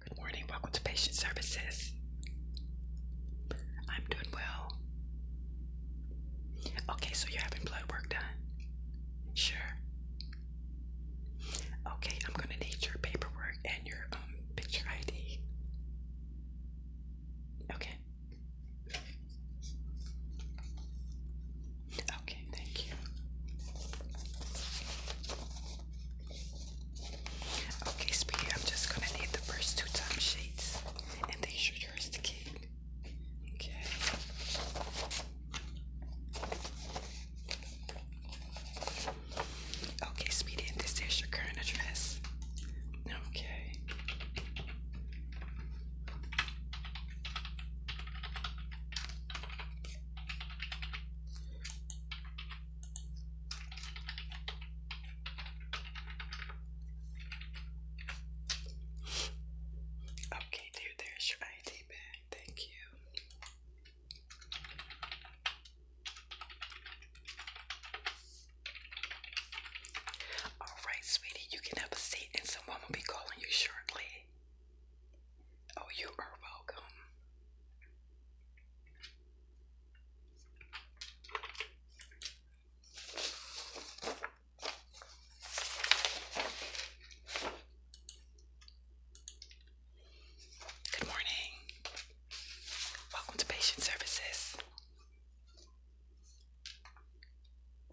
Good morning, welcome to Patient Services. I'm doing well. Okay, so you're having blood work done? Sure. Okay, I'm gonna need your paperwork and your um, picture ID. Okay. Okay, thank you. Okay, Speedy, I'm just gonna need the first two time sheets and these are yours to keep. Okay. Okay, Speedy, and this is your current address. Okay. Okay, dude, there's your ID bag. Thank you. All right, sweetie, you can have a seat, and someone will be calling you shortly. Oh, you are welcome. Good morning. Welcome to Patient Services.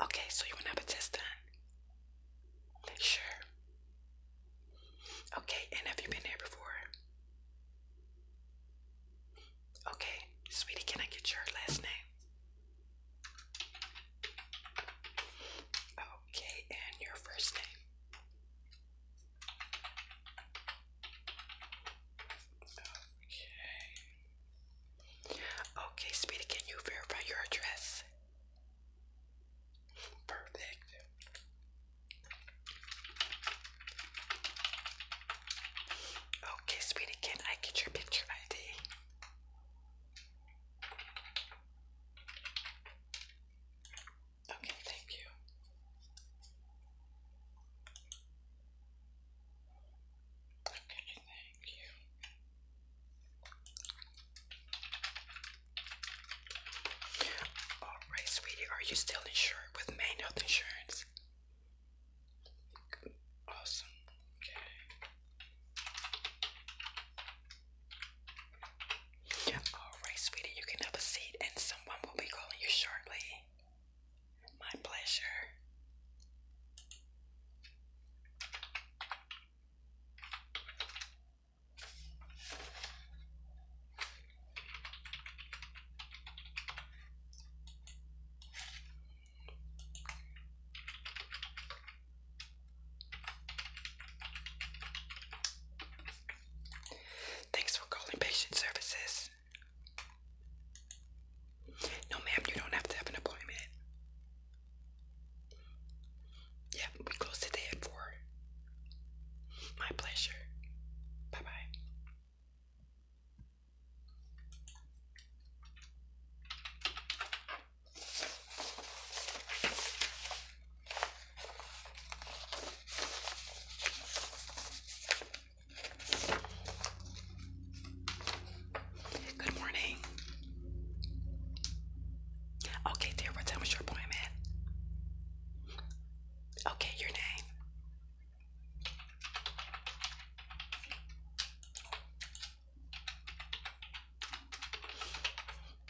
Okay, so you want to have a test done? Sure. Okay, and have you been here before? Okay, sweetie, can I get your last name? Okay, and your first name? Okay. Okay, sweetie, can you verify your address? Perfect. Okay, sweetie, can I get your picture ID? Okay, thank you. Okay, thank you. Alright, sweetie, are you still insured with main health insurance? Awesome. Okay. Alright, sweetie, you can have a seat and someone will be calling you shortly. My pleasure. Thanks for calling patient services. No, ma'am, you don't have to have an appointment yeah, we close today at four. My pleasure. Bye bye. Good morning. Okay, dear, what time your appointment? Okay, your name.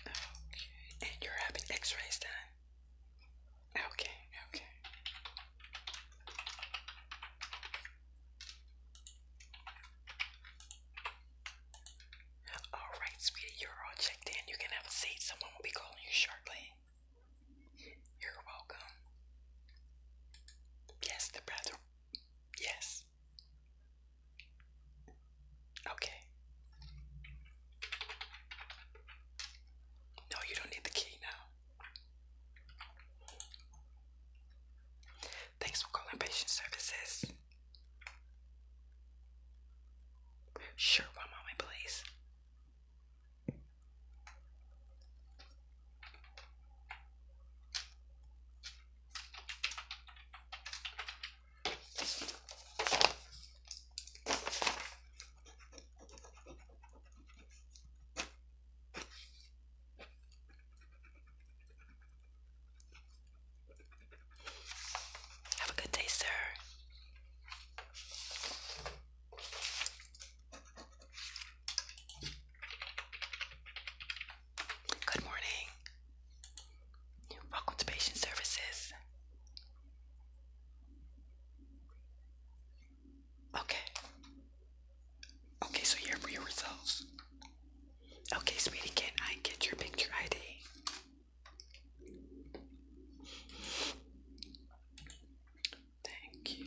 Okay, and you're having x-rays done? Okay, okay. Alright, sweetie, you're all checked in. You can have a seat. Someone will be calling you shortly. You're welcome. Yes, the bathroom. Yes. Okay. No, you don't need the key now. Thanks for calling Patient Services. Sure, while I'm on my place. Have a good day, sir. Good morning. Welcome to Patient Services. Okay. Okay, so here for your Okay, sweetie, can I get your picture ID? Thank you.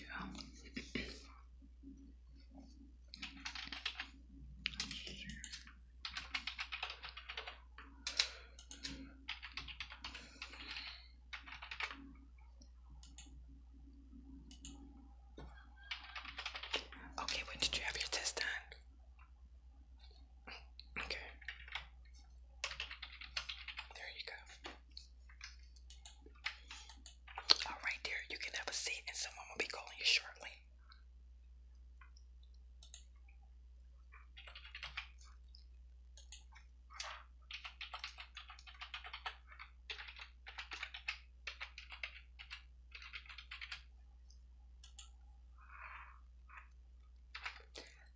Okay, when did you have your test done? Okay. There you go. All right, dear, you can have a seat and someone will be calling you shortly.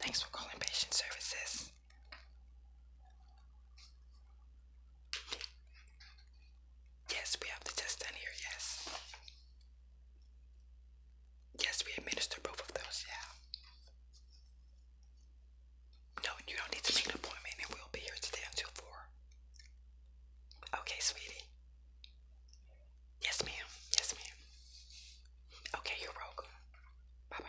Thanks for calling patient services. Yes, we have the test done here, yes. Yes, we administer both of those, yeah. No, you don't need to make an appointment and we'll be here today until 4. Okay, sweetie. Yes, ma'am. Yes, ma'am. Okay, you're welcome. Bye bye.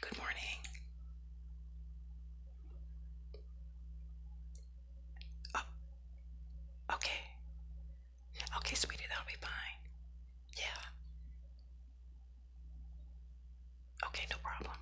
Good morning. Oh, okay. Okay, sweetie, that'll be fine. Yeah. Okay, no problem.